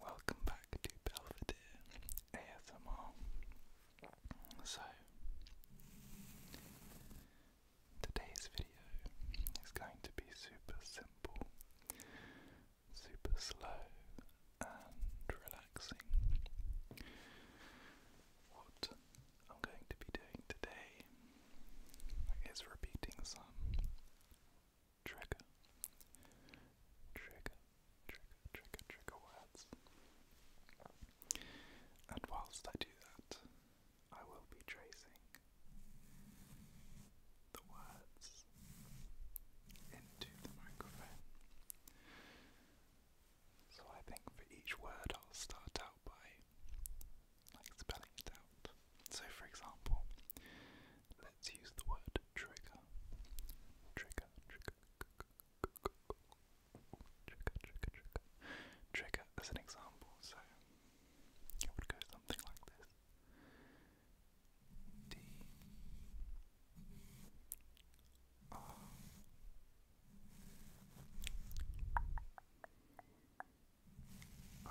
Welcome back to Belvedere ASMR. So, today's video is going to be super simple, super slow, and relaxing. What I'm going to be doing today is repeating some trigger, trigger, trigger, trigger, trigger words. And whilst I do that, I will be tracing the words into the microphone. So I think for each word I'll start out by like spelling it out. So, for example, let's use the word trigger. Trigger, trigger, trigger, trigger, as an example. So, it would go something like this D R. I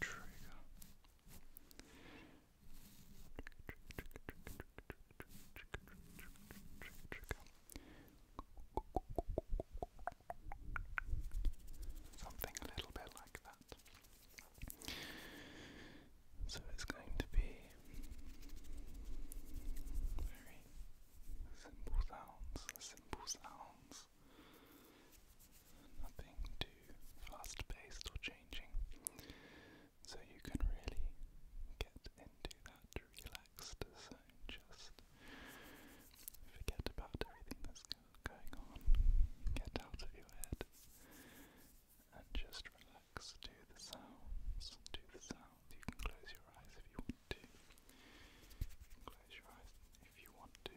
trigger. Something a little bit like that. So it's going to be very simple sounds, simple sounds, else. Nothing too fast paced or changing. So you can really get into that relaxed zone, just forget about everything that's going on, get out of your head, and just relax to the sounds, to the sounds. You can close your eyes if you want to. Close your eyes if you want to.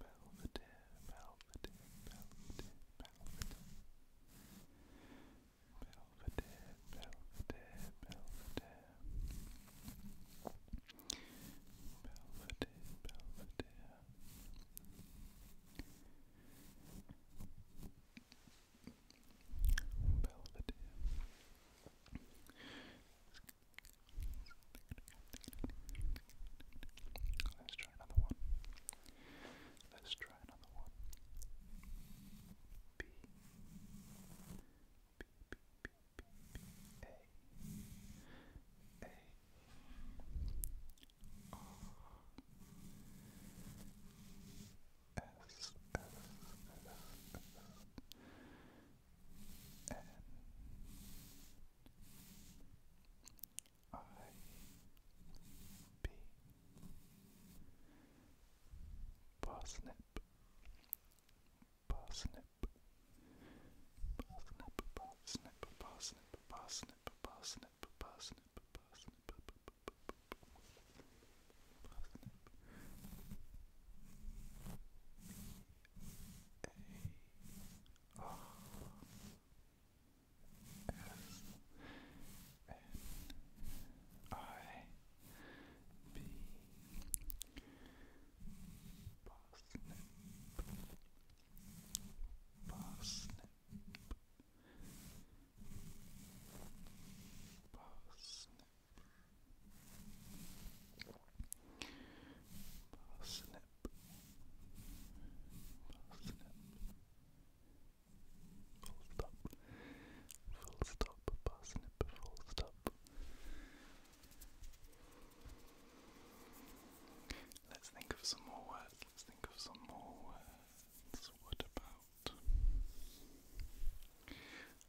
Belvedere, Belvedere, Belvedere, Belvedere. Belvedere, Belvedere, Belvedere. Belvedere, Belvedere. Belvedere. Let's try another one. Let's try another one. B. B, B, B, B, B. A. A. R. S, S, S, S. N. I B Parsnip Parsnip Parsnip Parsnip Parsnip Parsnip Parsnip Parsnip Parsnip Parsnip A R S N I B Parsnip Parsnip Parsnip Parsnip parsnip, full stop, full stop, parsnip, full stop. Let's think of some more words, let's think of some more words. What about?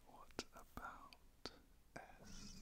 What about S?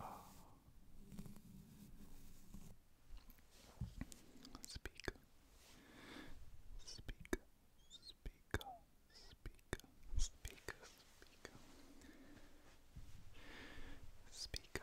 Ah. Speak. Speak. Speak. Speak. Speak. Speak. Speak. Speak. Speak.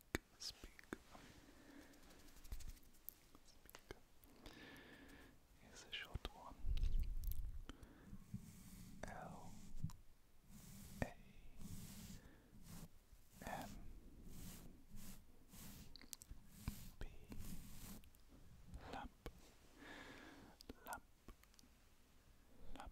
speak, speak, speak. a short one. L A M B lamp lamp lamp lamp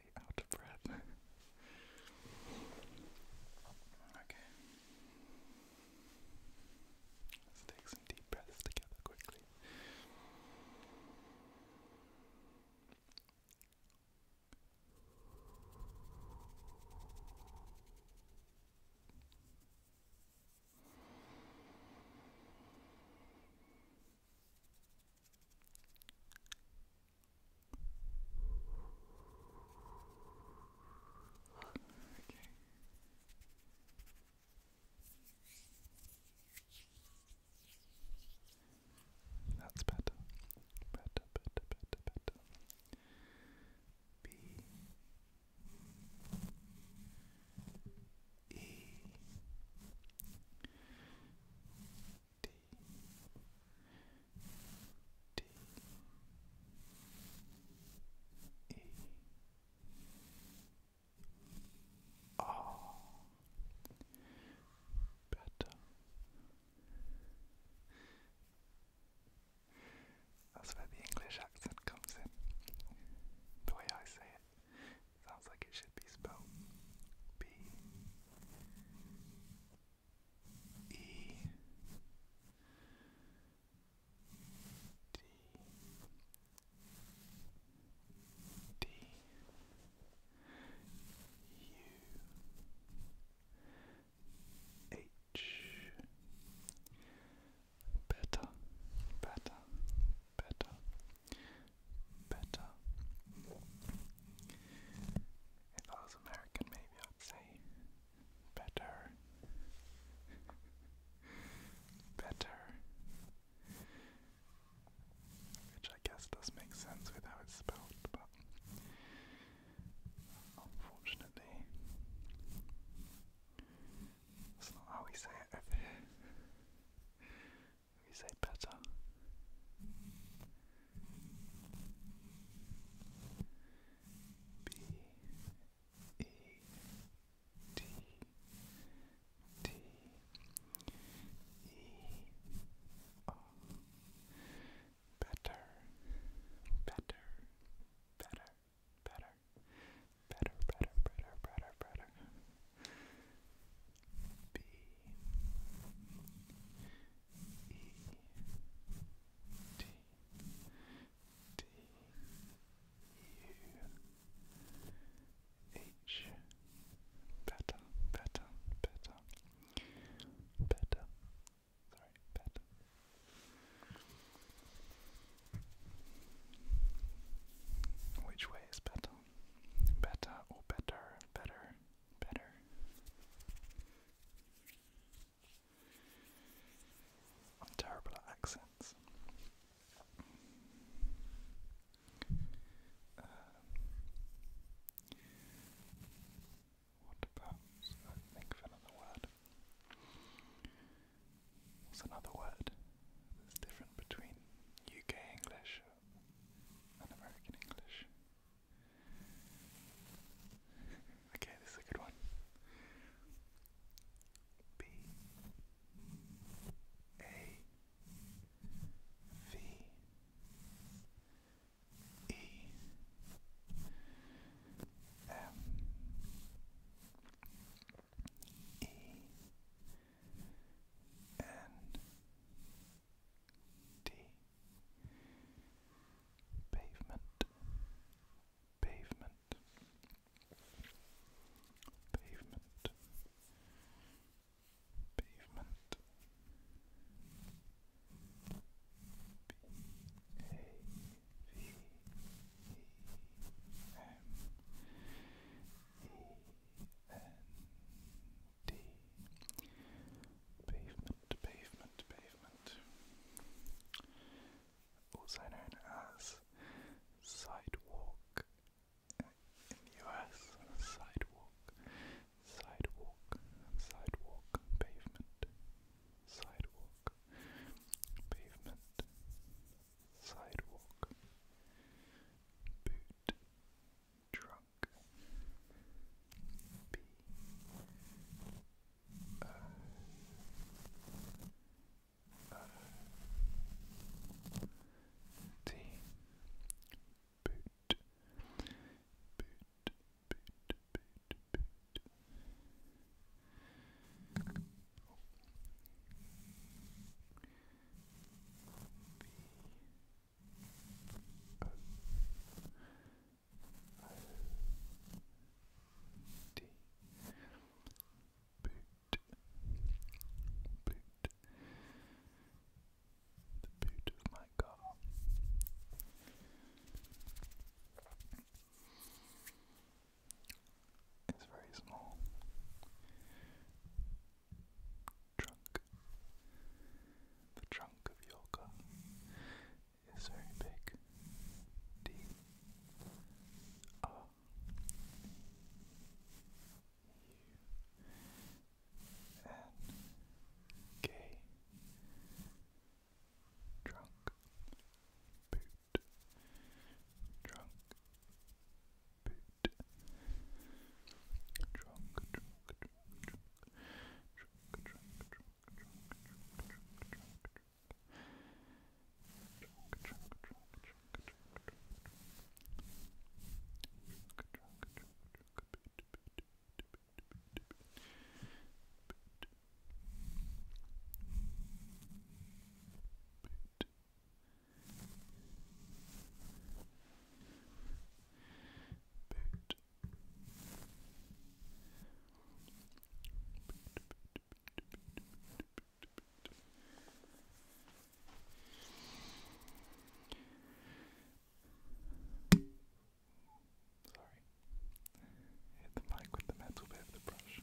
completely out okay. Let's take some deep breaths together quickly. Okay. That's better. Better, better, better, better. B E D D E R better. That's where the English accent comes in. The way I say it sounds like it should be spelled B E D D U H better better better better if I was American, maybe I'd say better, better, which I guess does make sense with how it's spelled, but unfortunately, that's not how we say it over here. We say better. B E T T E R Better Better Better Better Better Better Better Better Better B D D U H better better better better sorry better which way is better better or better better better I'm terrible at accents. Uh, what about? Uh, think of another word. What's another word that's different between UK English and American English? Okay, this is a good one. B A V E M E N D. Pavement, pavement, pavement, pavement. B A V E M E N D Pavement, pavement, pavement. Also known as sidewalk in the US. Sidewalk, sidewalk, sidewalk, pavement, sidewalk, pavement, sidewalk, boot drunk. B O O T boot boot boot boot boot. B O D. Boot. The boot of my car. It's very small. Trunk. The trunk of your car is very big. D R U N K Drunk Boot Drunk Boot Drunk Drunk Drunk Drunk Drunk Drunk Boot. Sorry. Hit the mic with the metal bit of the brush.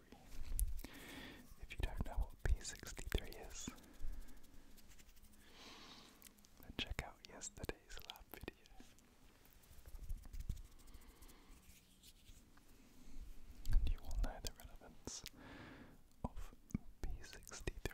if you don't know what P63 is, then check out yesterday's lab video. And you will know the relevance of P63.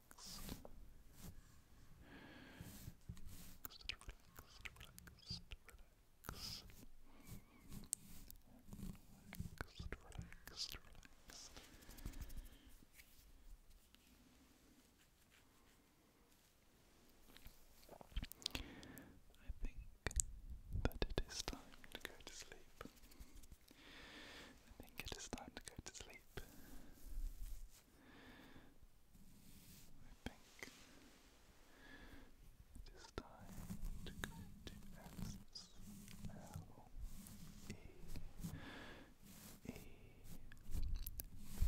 relaxed, relaxed, I think that it is time to go to sleep. I think it is time to go to sleep. I think it is time to go to S L E E P.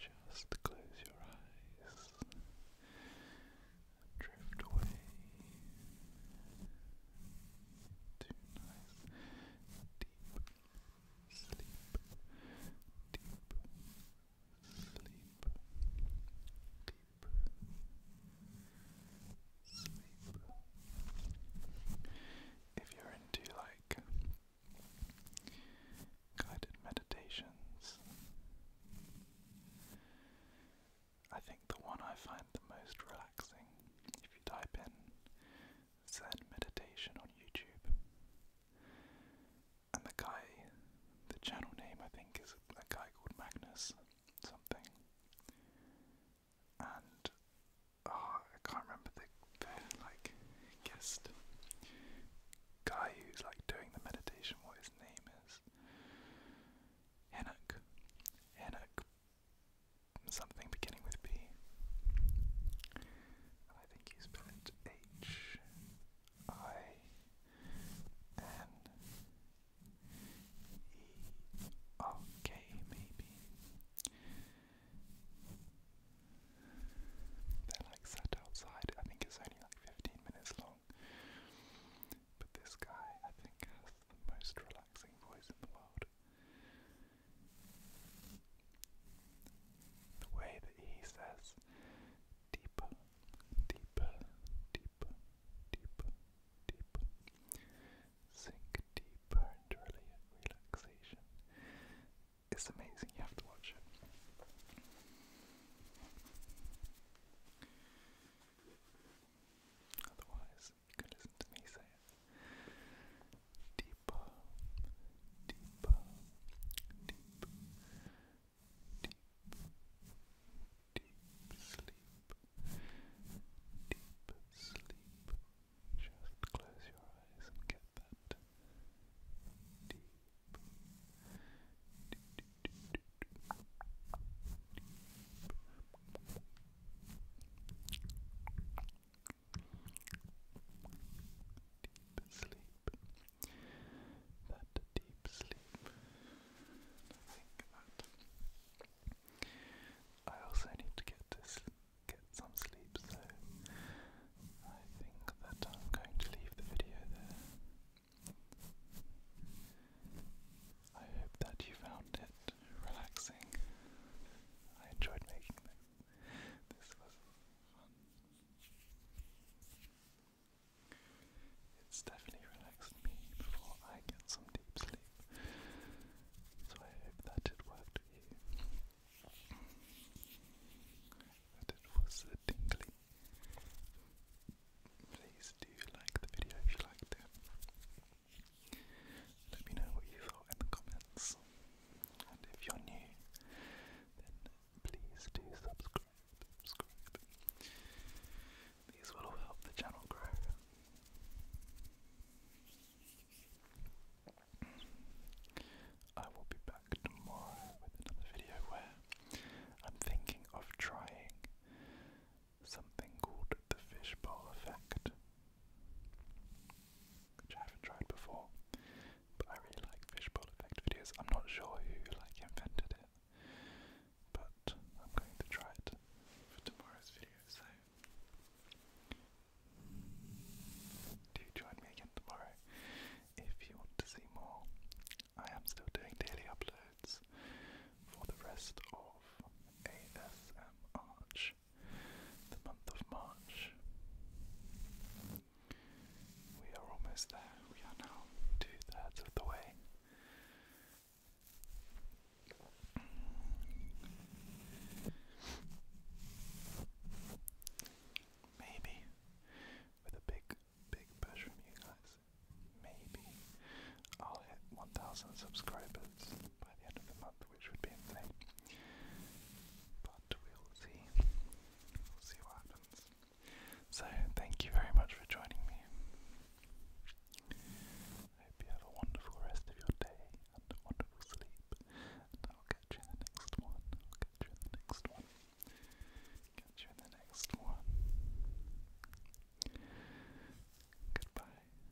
Just close your eyes drift away, to nice deep sleep, deep sleep, deep sleep. If you're into like guided meditations I think the one I find the most relaxing, if you type in Zen meditation on YouTube. And the guy, the channel name I think is a guy called Magnus something. And oh, I can't remember the, the like guest guy who's like doing the meditation. What his name is? Enoch. Enoch something beginning with B. think you spell it maybe. They're like sat outside. I think it's only like 15 minutes long. But this guy, I think, has the most relaxing the way that he says deeper, deeper, deeper, deeper, deeper. Sink deeper into relaxation. It's amazing, you have to watch it. Otherwise, you can listen to me say it. Deeper, deep, deep, deep sleep, deep sleep. Just close your eyes and get that Deep, Deep sleep. That deep sleep. I think that I also need to get this get some sleep, so I think that I'm going to leave the video there. I hope that you found it relaxing. I enjoyed making this. This was fun. It's definitely relaxed me before I get some deep sleep. So I hope that it worked for you. That it was a tingly. Please do like the video if you liked it. Let me know what you thought in the comments. And if you're new, then please do subscribe. These will help the channel grow. I will be back tomorrow with another video where I'm thinking of trying something called the fishbowl effect, which I haven't tried before, but I really like fishbowl effect videos. I'm not sure who like invented it, but I'm going to try it for tomorrow's video. So, do join me again tomorrow if you want to see more. I am still doing daily uploads for the rest of ASM the month of March. We are almost there. We are now two thirds of the way. Maybe with a big, big push from you guys, maybe I'll hit 1,000 subscribers by the end of the month which would be in But we'll see. We'll see what happens. So, thank you very much for joining me. I hope you have a wonderful rest of your day and a wonderful sleep. And I'll catch you in the next one. I'll catch you in the next one. Catch you in the next one. Goodbye.